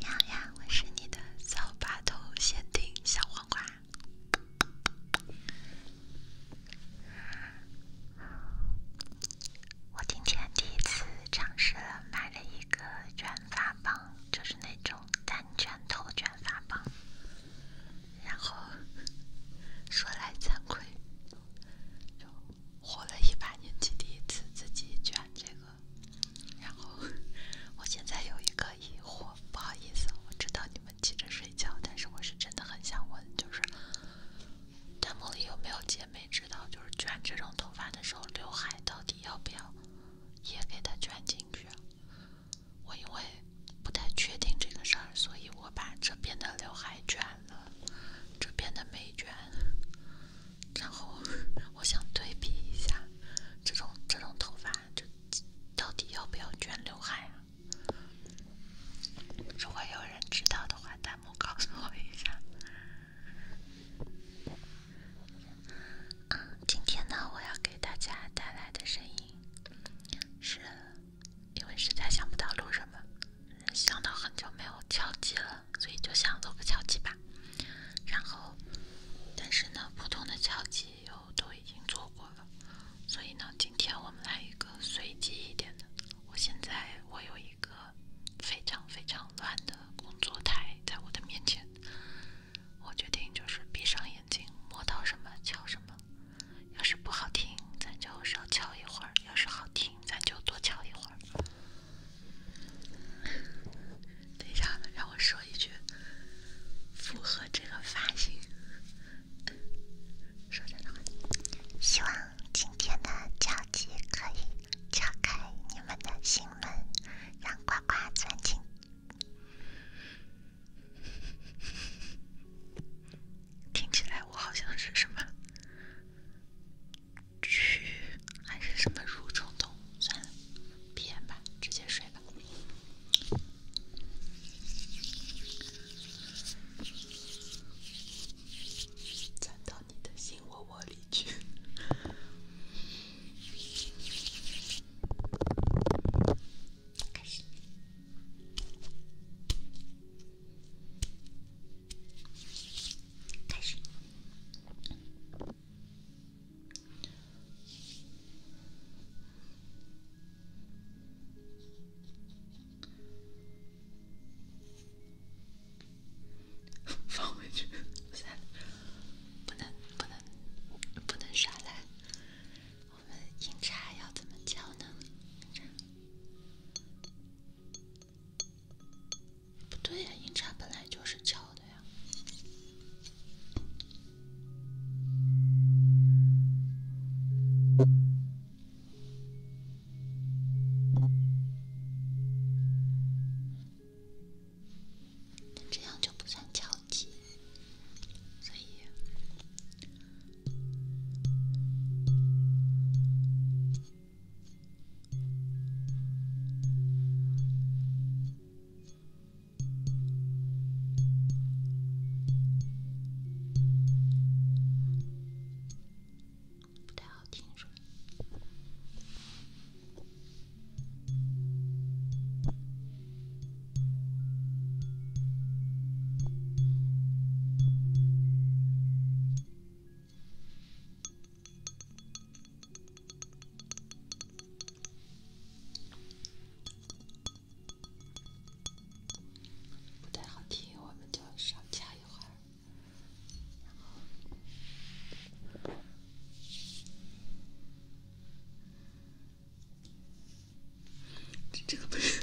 你好我是你的骚把头限定小黄瓜。我今天第一次尝试了买了一个卷发棒，就是那种单卷头卷发棒。然后，说来惭愧。活了一把年，纪，第一次自己卷这个，然后我现在有一个疑惑，不好意思，我知道你们急着睡觉，但是我是真的很想问，就是弹幕里有没有姐妹知道，就是卷这种头发的时候，刘海到底要不要也给它卷进去？我因为不太确定这个事儿，所以我把这边的刘海卷。这边的美卷，然后我想对比一下，这种这种头发就到底要不要卷刘海呀？如果有人知道的话，弹幕告诉我一下。啊，今天呢，我要给大家带来的声音是，因为实在想不到录什么。想到很久没有敲击了，所以就想做个敲击吧。然后，但是呢，普通的敲击又都已经做过了，所以呢，今天我们来一个随机一点的。我现在我有一个非常非常乱的工作台在我的面前，我决定就是闭上眼睛摸到什么敲什么。要是不好听，咱就少敲一会儿；要是好听，咱就多敲一会儿。等一下，让我说一句符合这个发型，说真的，希望今天的交际可以打开你们的心门，让呱呱钻进。听起来我好像是什么蛆，还是什么蠕虫动物？算了，闭眼吧，直接睡吧。钻到你的心窝窝里去。开始。开始。放回去。三，不能不能不能耍赖。我们饮茶要怎么叫呢？不对呀，音叉本来就是敲的呀。那这样就不算敲击，所以。不太好听，是吧？不太好听，我们就少加一会儿。这个不是。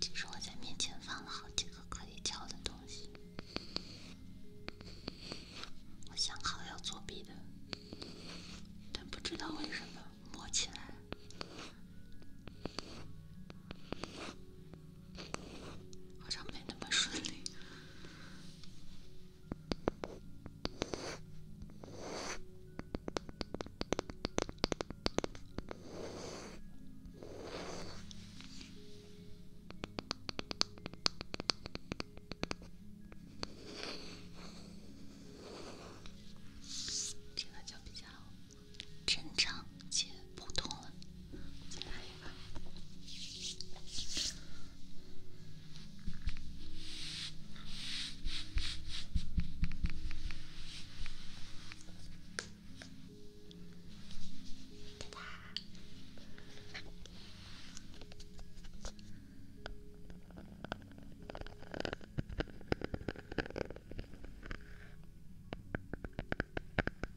其实我在面前放了好几个可以交的东西，我想好要作弊的，但不知道为什么摸起来。好像没那么顺利，听了就比较。正常，接不通了。再来一个。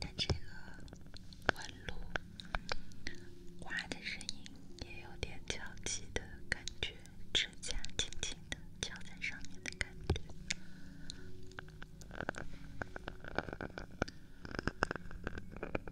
它这个纹路，滑的声音也有点娇气的感觉，指甲轻轻的敲在上面的感觉。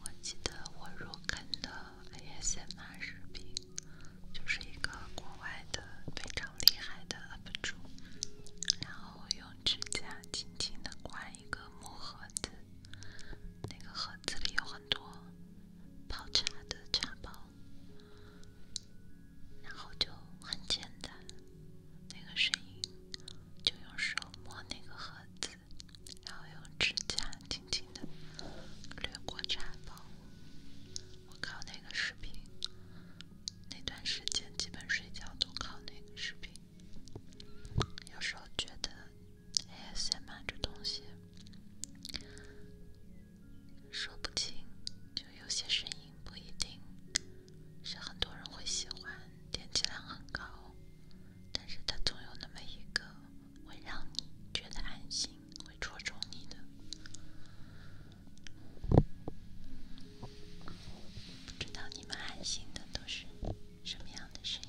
我记得我入坑的 ASMR 视频，就是一个国外的非常厉害的 UP 主，然后用指甲轻轻的刮。一个木盒子，那个盒子里有很多泡茶的茶包，然后就很简单，那个声音就用手摸那个盒子，然后用指甲轻轻的掠过茶包。我靠那个视频，那段时间基本睡觉都靠那个视频。有时候觉得，A. C. 漫这东西说不清，就有些声音不一定是很多人会喜欢，点击量很高，但是他总有那么一个会让你觉得安心，会戳中你的。不知道你们爱听的都是什么样的声音。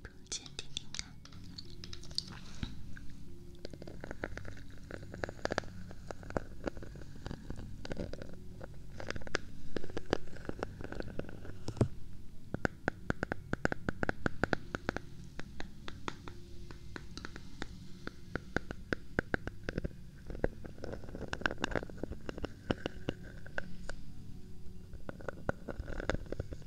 空间听听看。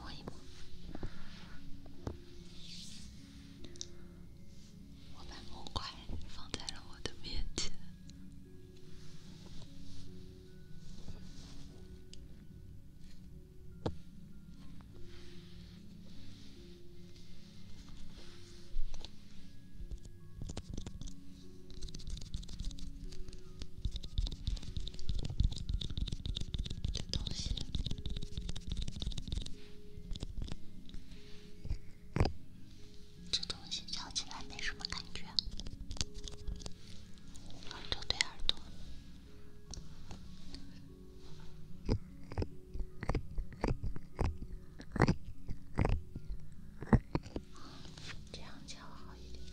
摸一摸，我把木块放在了我的面前的东西。这东西嚼起来没什么感觉，耳朵对耳朵，这样嚼好一点。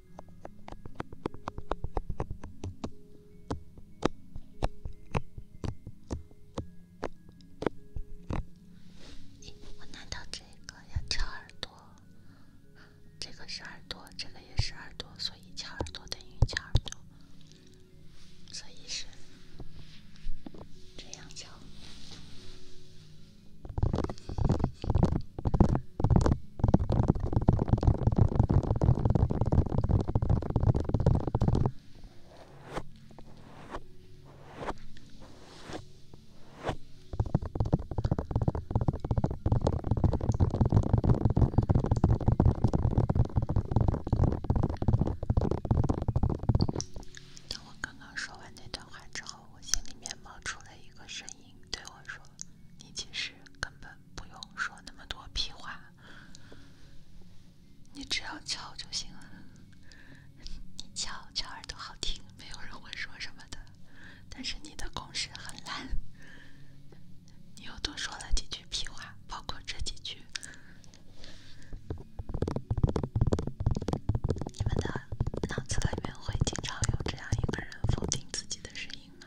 我拿到这个要敲耳朵，这个是耳朵，这个也是耳朵，所以敲耳朵等于敲耳朵，所以是这样敲。当我刚刚说完那段话之后，我心里面冒出了一个声音。对我说：“你其实根本不用说那么多屁话，你只要敲就行了。你敲敲耳朵好听，没有人会说什么的。但是你的功势很烂，你又多说了几句屁话，包括这几句。”你们的脑子里面会经常有这样一个人否定自己的声音吗？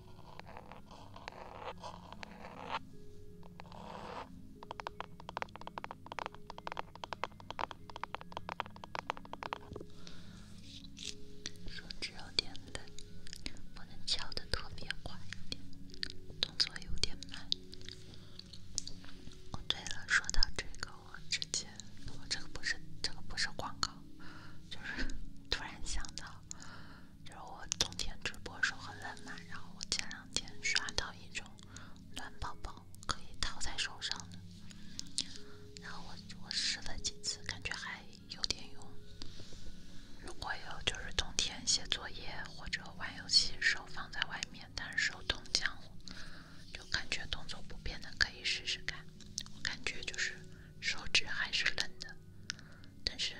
手指有点冷，我能敲得特别快一点，动作有点慢。哦，对了，说到这个，我之前，我这个不是这个不是广告，就是突然想到。就是我冬天直播时候很冷嘛，然后我前两天刷到一种暖宝宝可以套在手上的，然后我我试了几次，感觉还有点用。如果有就是冬天写作业或者玩游戏的时候放在外面，但是手冻僵了，就感觉动作不变的可以试试看。我感觉就是。手指还是冷的，但是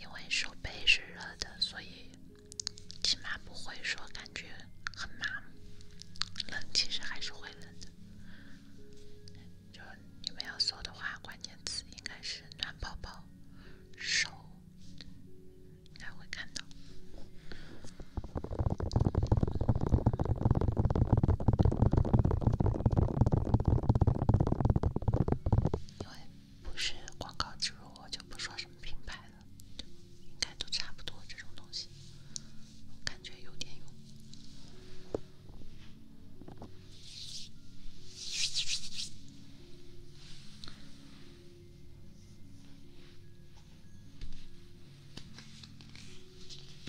因为手背是热的，所以起码不会说感觉很麻。木。冷其实还是会冷的。就你们要搜的话，关键词应该是暖宝宝手，应该会看到。因为不是广告植入，我就不说什么品牌了，应该都差不多这种东西，我感觉有点用。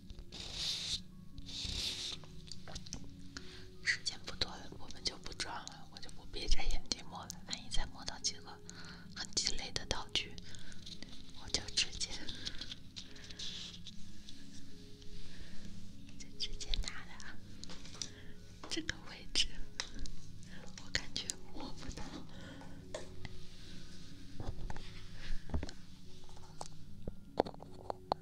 时间不多，我们就不装了，我就不闭着眼睛摸了。万一再摸到几个很鸡肋的道具，我就直接就直接拿了。这个位置，我感觉摸不到。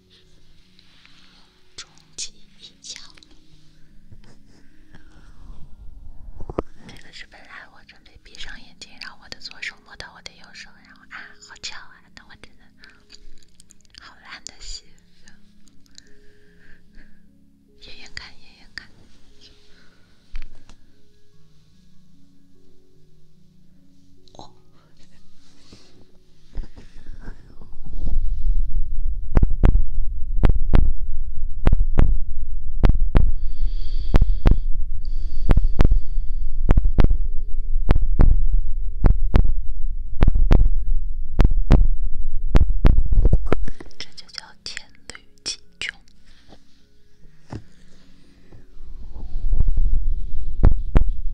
终极一枪。这个视频来，我准备闭上眼睛，让我的左手摸到我的右手，然后啊，好巧啊！那我真的好烂的戏份。爷爷看，爷爷看。哦。这就叫黔驴技穷。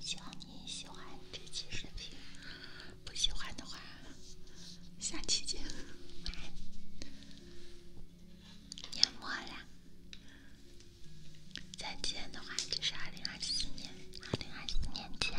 希望你喜欢这期视频，不喜欢的话，下期见。晚安，年末了，再见的话，就是二零二四年，二零二四年见。